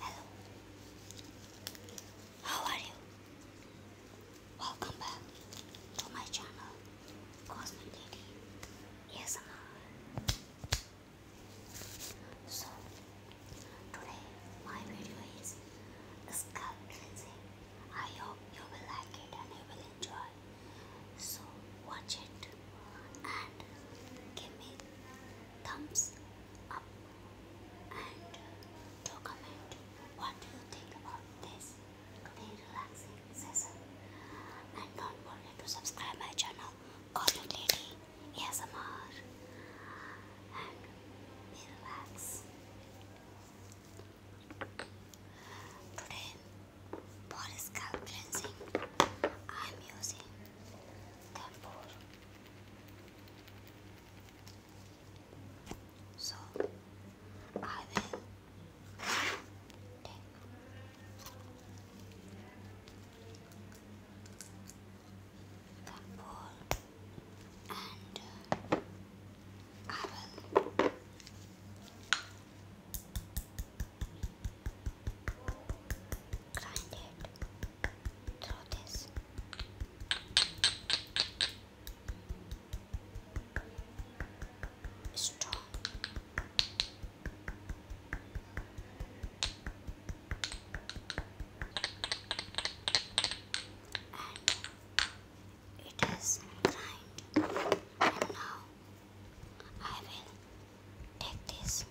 Hello. How are you? Welcome back to my channel, Cosmic Lady. Yes, So today my video is scalp I hope you will like it and will enjoy. So watch it and give me thumbs up and comment what do you think about this very relaxing session. And don't forget to subscribe my channel Cotton Lady ASMR and be Today, for scalp cleansing, I am using Tempur. So, I will take Tempur and uh, apple. Grind it through this. Straw. It is fine, and now I will take this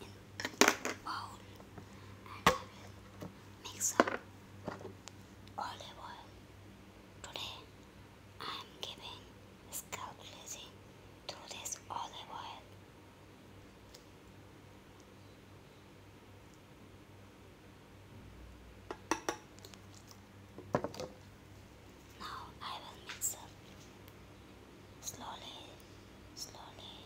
in a bowl I will mix up olive oil. Today I am giving scalp cleansing through this olive oil. Now I will mix up slowly, slowly.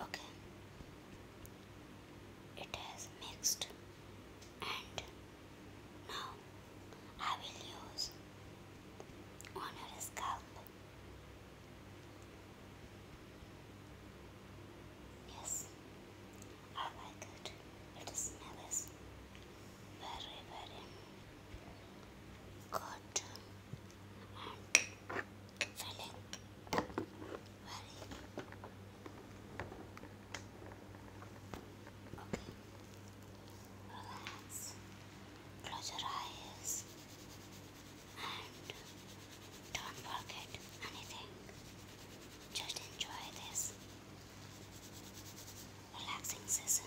Okay, it has mixed and now I will use on your scalp yes I like it it smells very very good and feeling very Okay. Relax. Close your eyes. And don't forget anything. Just enjoy this relaxing session.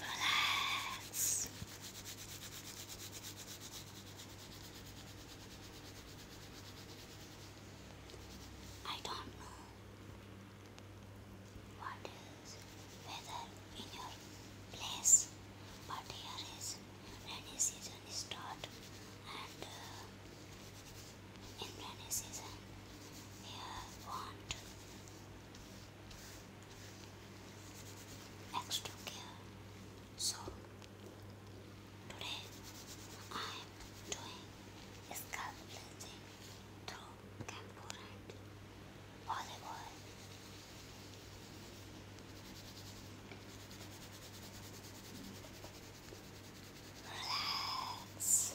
Relax. I don't know what weather in your place. But here is rainy season start and uh, in rainy season here want extra care. So today I am doing scalp cleansing through camphor and Hollywood. Relax.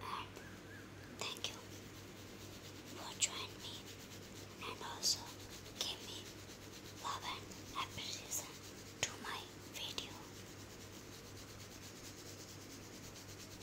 Mark, thank you for joining me and also give me love and appreciation to my video.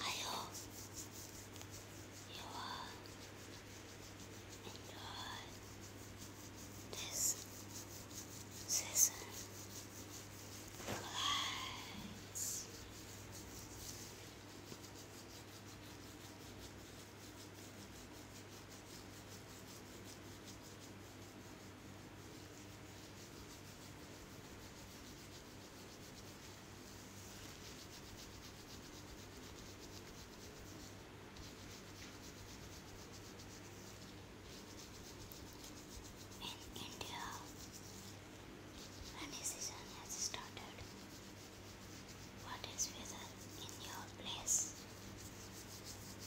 I hope you enjoy this season Glass. In India, rainy season has started. What is weather in your place?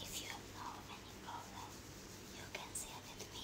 If you have know any problem, you can share with me.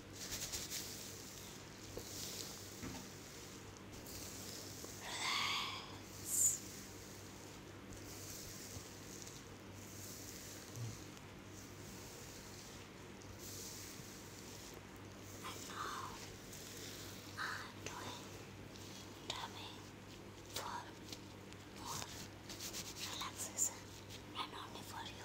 Relax. And now I'm doing dummy for more relaxation and only for you.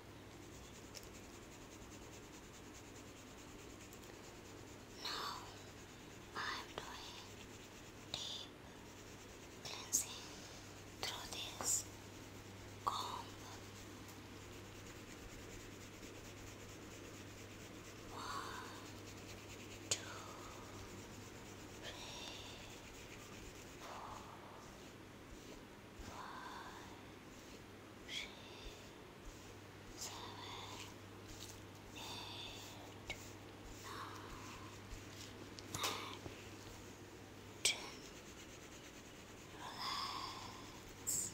Now I am doing deep cleansing through this comb. One, two, three, four, five, six, seven, eight, nine, nine, ten. Relax. Relax.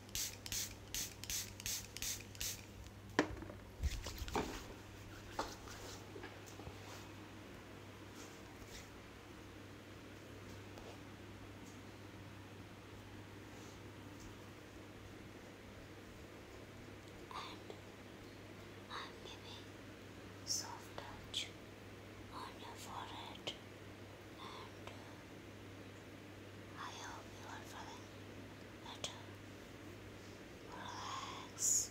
I'm giving soft touch on your forehead and I hope you are feeling better. Relax.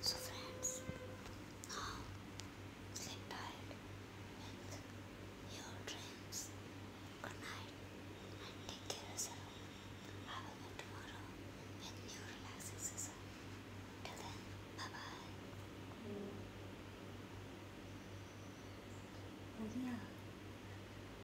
So friends, sleep tight with your dreams. Good night and take care of yourself. I will be tomorrow with new relaxing Till then, bye-bye. Oh yeah.